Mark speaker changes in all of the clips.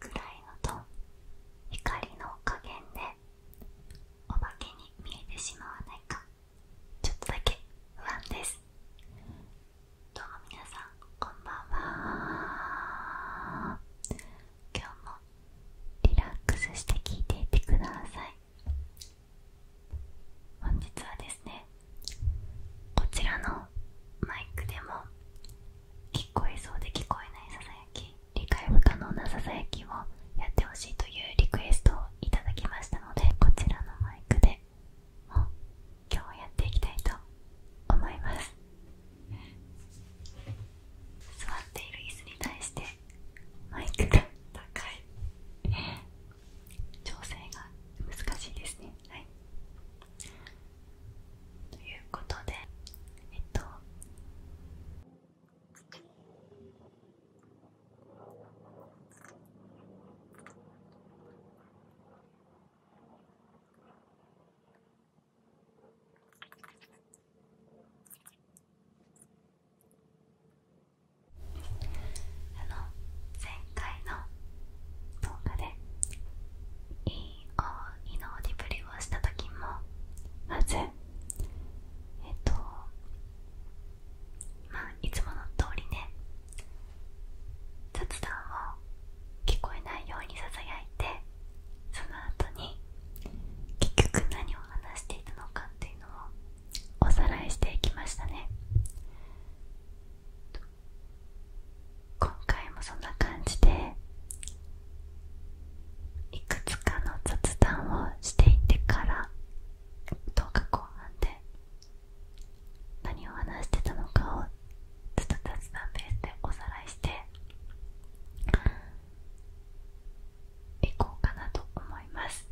Speaker 1: 暗いのと怒りの加減でお化けに見えてしまわないかちょっとだけ不安ですどうも皆さんこんばんは今日もリラックスして聞いていてください本日はですねこちらのマイクでも聞こえそうで聞こえないささやき理解不可能なささやきをやってほしいというリクエストをいただきましたのでこちらのマイクでも今日やっていきたいと思います座っている椅子に対してマイクが高い調整が難しいですねはいということでえっとあの前回の動画でいいにイディブルをした時もまずえっとまいつもの通りね雑談を聞こえないようにささやいてその後に結局何を話していたのかっていうのをおさらいしていきましたね今回もそんな感じでいくつかの雑談をしていてから動画後半で何を話してたのかをちっと雑談ベースでおさらいしていこうかなと思います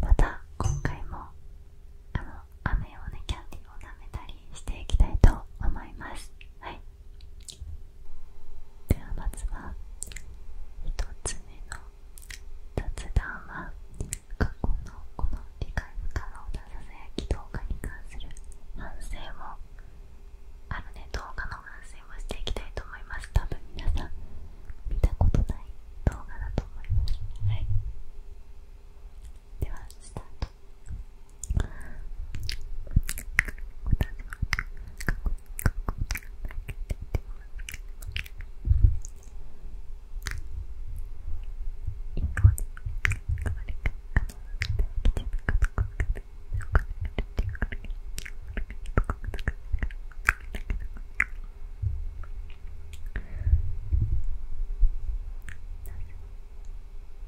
Speaker 1: また今回もあの飴をねキャンディーを舐めたりしていきたいと思いますはいではまずは1つ目の雑談は過去のこの理解不可能なささやき動画に関する反省もあるね動画の反省もしていきたいと思います多分皆さん見たことない動画だと思いますはいではスタートなぜ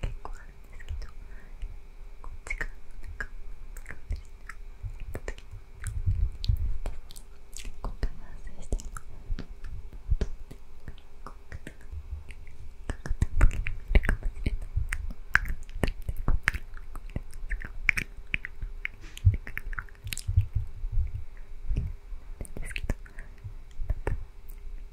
Speaker 1: 結構あるんですけどこっちからなかこうですねやった時にここから反省してここからかかった時に見るかもしれないここからこうですかなんですけどなんか。あの深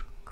Speaker 1: すさい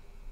Speaker 1: あの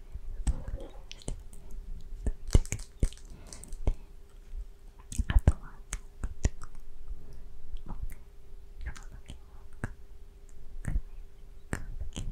Speaker 1: あとはもうね山の毛も髪の毛ても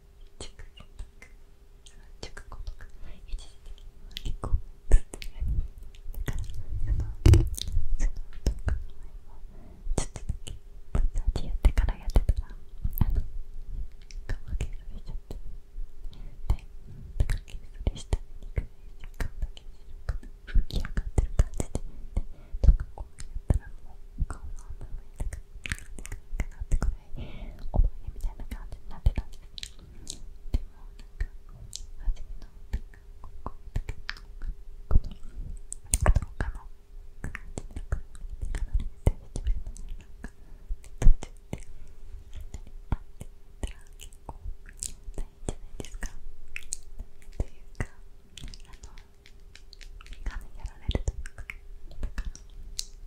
Speaker 1: チクチクチクコとか一時的に1個ずつやるだからあのそのとか前はちょっとだけマッサージやってからやってたらあの顔が削れちゃってでだから削れした肉が若干だけ白く吹き上がってる感じででとかこうやったらもう顔の穴が痛くなってくるみたいな感じになってたんですでもなんか初めのなんかこここのう画の感じでかなり出てきましたねなんか途中であって言ったら結構大変じゃないですかというかあの眼やられるというかだから。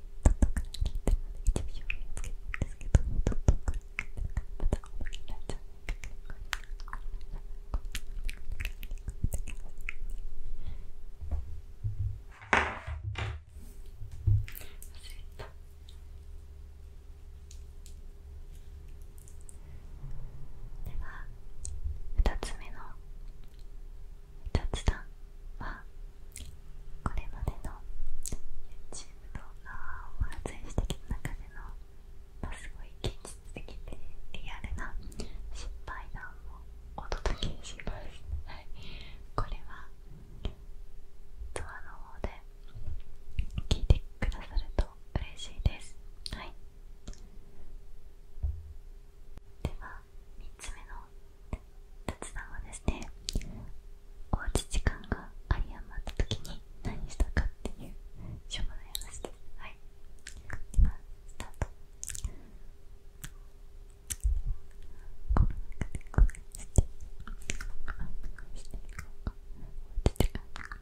Speaker 1: では2つ目の雑談はこれまでの YouTube 動画を発展してきた中での、すごい現実的でリアルな失敗談をお届けします。これはドアの方で聞いてくださると嬉しいです。では3つ目のの達さんはですねおうち時間が有り余った時に何したかっていうしょうがない話ですはい今スタートコロナ禍でこうしてうしておうち時間が「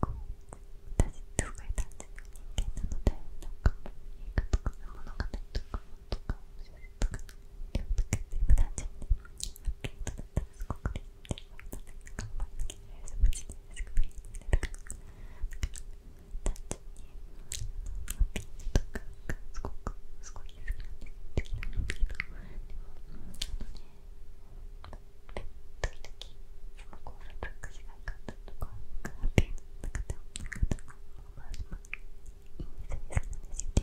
Speaker 1: こうじ、とごい単純な人間なのでなんかいいか物語とか本とか小とか料理とか全部単純でゲートだったらすごく嬉しいですなんか毎月大丈夫ですすぐ見に入れるから単純にマッピングとかがすごくすごい好きなんです好きなんですけどでもあのねベッドの時すごくワクワクしなかったとかカーテンの中でもなかったのもまあまあいいサイズなんですよね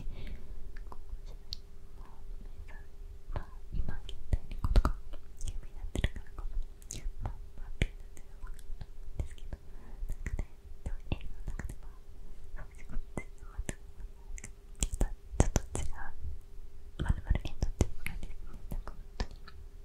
Speaker 1: ここじゃないまあ今現代のことが有名になってるからこそまあまあピューってのは分かんないんですけどなんかねでも映画の中ではそうですよねちょっと違うまるまるエンドっていう感じですねなんか本当に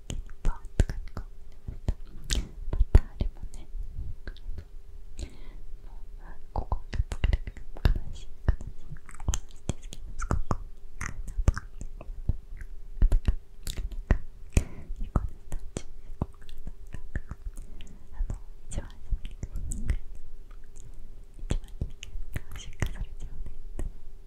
Speaker 1: キーパーとかにこうまたあれもねもうここが疲れる悲しい悲しい話ですけどすごくいいかなと思っなんかこのスタジオでこあの一番初めに一番にね、収穫されちゃうね。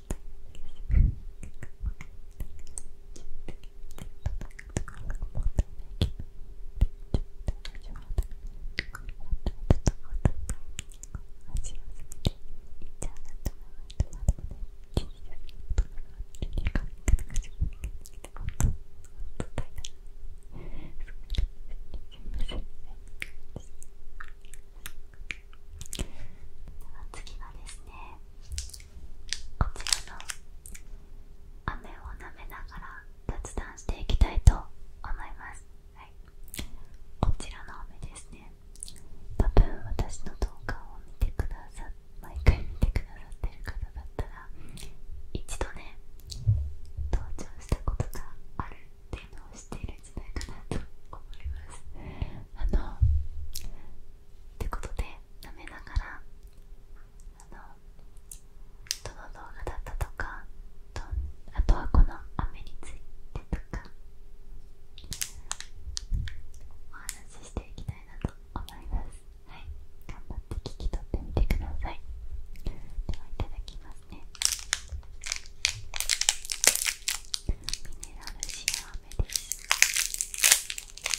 Speaker 1: 次はですねこちらの雨を舐めながら雑談していきたいと思います、はい、こちらの雨ですね多分私の動画を見てくださ毎回見てくださってる方だったら一度ね登場したことがあるっていうのを知っているんじゃないかなと思いますあのってことで舐めながらあのどの動画だったとかあとはこの雨についてとかお話ししていきたいなと思いますはい頑張って聞き取ってみてくださいではいただきますねミネラルシアーメです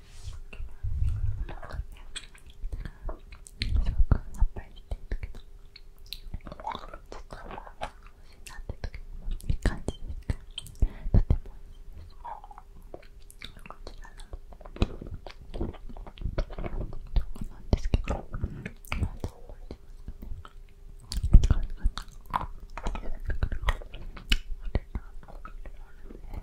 Speaker 1: っぱりしてるけどちょっと欲しいなって時にもいい感じですかとてもいいですこちらの動画なんですけどまだ覚えてますかねあれあれあれあれ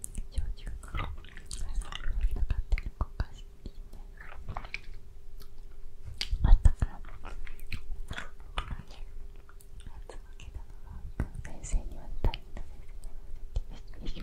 Speaker 1: 焼酎がなかったのかしいねあったからつまけたのが先生には大変な先生てるってみた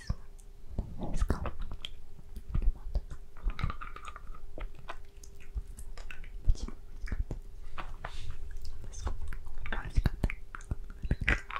Speaker 1: です。いいですかあったんですけどなか別になかして。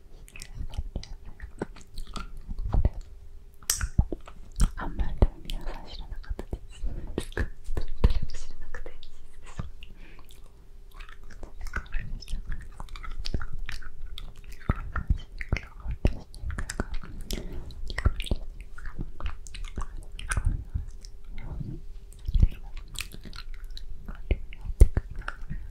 Speaker 1: あんまり皆さん知らなかったです誰も知なくてこれをや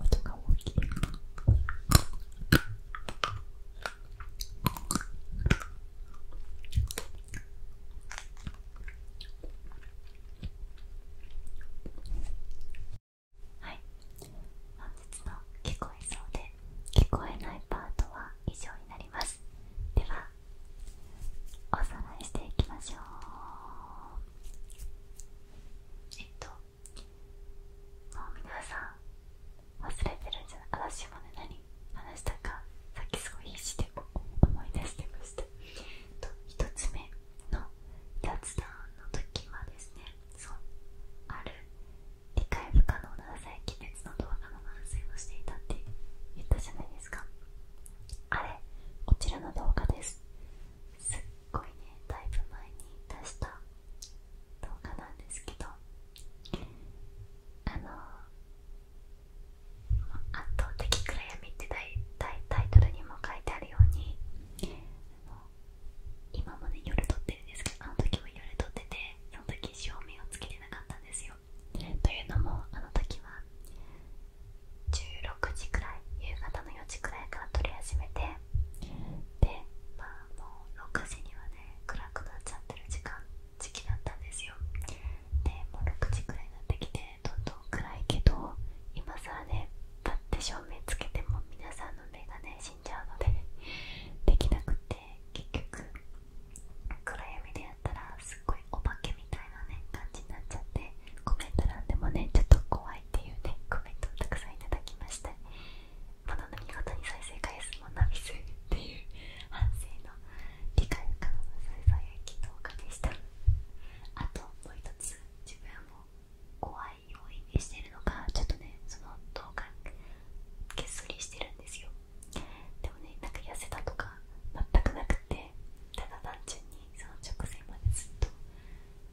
Speaker 1: 音が大きい。はい、本日の聞こえそうで聞こえないパートは以上になります。ではおさらいしていきましょうえっともう皆さん忘れてるんじゃない私もね何話したかさっきすごい必死で思い出してました1、つ目の脱弾の時はですねそうある理解不可能な細菌熱の動画の反省をしていたって言ったじゃないですかあれこちらの動画ですすっごいねだいぶ前に出した動画なんですけどあの圧倒的暗闇って大体タイトルにも書いてあるように今もね夜撮ってるんですけどあの時も夜撮っててその時照明をつけてなかったんですよというのもあの時は16時くらい夕方の4時くらいから撮り始めてでまあもう6時にはね暗くなっちゃってる時間時期だったんですよでもう6時くらいになってきてどんどん暗いけど今更ねパッて照明つけても皆さんの目がね死んじゃうのでできなくて結局暗闇でやったらすっごいお化けみたいなね感じになっちゃってコメント欄でもねちょっと怖いっていうねコメントをたくさんいただきましたまの見事に再生回数もナミスっていう反省の理解不可能なささやき動画でしたあともう一つ自分も怖い要因にしてるのかちょっとねその動画げっそりしてるんですよでもねなんか痩せたとか全くなくてただ単純にその直前までずっと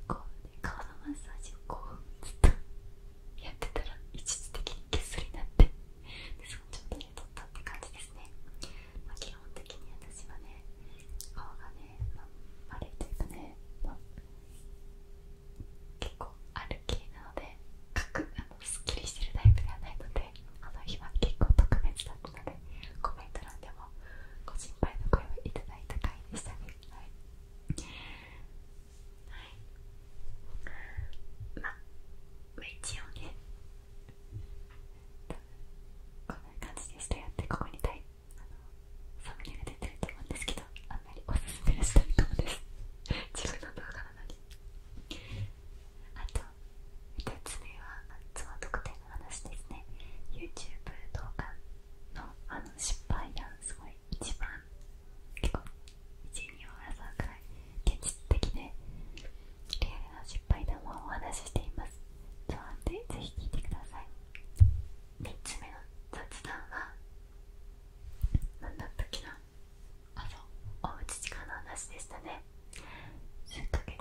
Speaker 1: こう、ね、顔のマッサージをこうずっとやってたら一時的にゲスになってそのちょっとね取ったって感じですね、基本的に私はね顔がね、丸いというかね、結構ある系なので角すっきりしてるタイプではないのであの日は結構特別だったのでコメント欄でもご心配の声をいただいた回でしたねはい、はい、まあ一応ねこんな感じでしたよってここにたいあのサムネが出てると思うんですけどあんまりおすすめしたいかもです自分の動画なのあと一つ目はその特典の話ですね YouTube 動画のあの失敗談すごい一番結構1 2に争うくらい現実的でリアルな失敗談をお話ししていますそうなんでぜひ聞いてください3つ目の雑談は何だったっけなあそおうち時間の話でしたね数ヶ月前に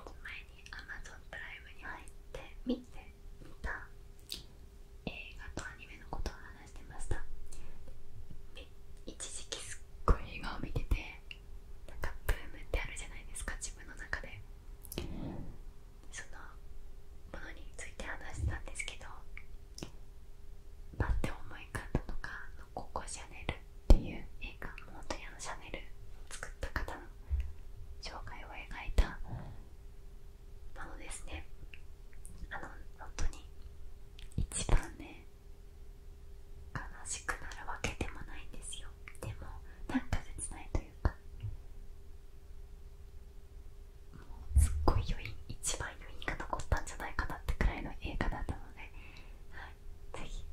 Speaker 1: アマゾン o プライムに入って見てみた映画とアニメのことを話してました一時期すっごい映画を見ててなかブームってあるじゃないですか自分の中でそのものについて話したんですけどパッて思い方とかののコシャネルっていう映画本屋のシャネルを作った方の紹介を描いたものですねあの本当に一番ね悲しくなるわけでもないんですよでもなんか切ないというかもうすっごい余韻一番余韻が残ったんじゃないかなってくらいの映画だったので、はぜひ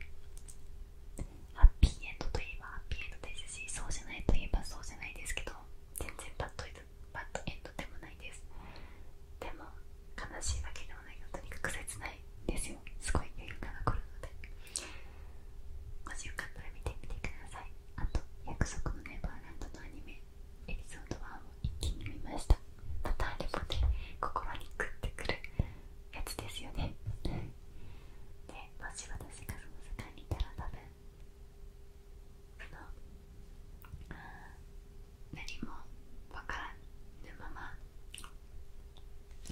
Speaker 1: ハッピーエンドといえばハッピーエンドですしそうじゃないといえばそうじゃないですけど全然バッドバッドエンドでもないですでも悲しいわけでもないのとにかく切ないですよすごい余裕が残るのでもしよかったら見てみてくださいあと約束のネバーランドのアニメエピソード1を一気に見ましたまたあれで、ここまで食ってくるやつですよねもし私がその世界にいたら多分何も分からぬまま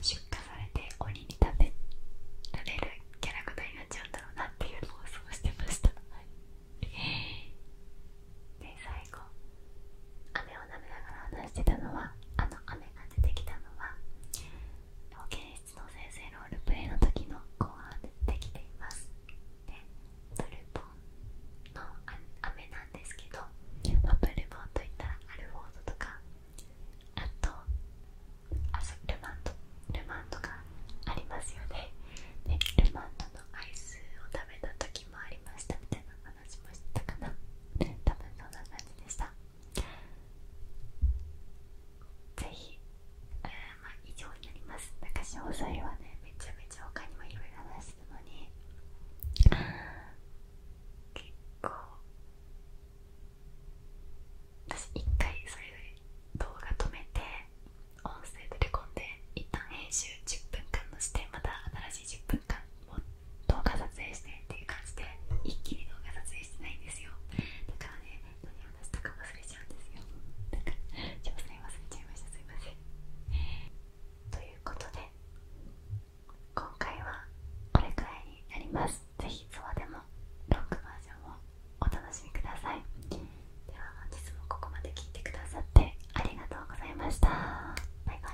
Speaker 1: 出荷されて鬼に食べられるキャラクターになっちゃうんだろうなっていうのを想像してましたで最後雨を舐めながら話してたのはあの雨が出てきたのは保健室の先生ロールプレイの時の後半でできていますでブルボンの雨なんですけど、まブルボンといったらアルフォードとかあとルマンドルマンドがありますよねでルマンドのアイスを食べた時もありましたみたいな話もしてたかな多分そんな感じでしたぜひ、えまあ以上になりますなんか詳細はねめちゃめちゃ他にもいろいろ話してるのに結構私一回それで動画止めて音声で取り込んで一旦編集10分間のしてまた新しい10分間持って動画撮影してっていう感じで一気に動画撮影してないんですよだからね何話したか忘れちゃうんですよだから詳細忘れちゃいましたすいませんということで今回はこれくらいになります是非、ツアーでもロックバージョンをお楽しみくださいでは本日もここまで聞いてくださってありがとうございましたバイバイ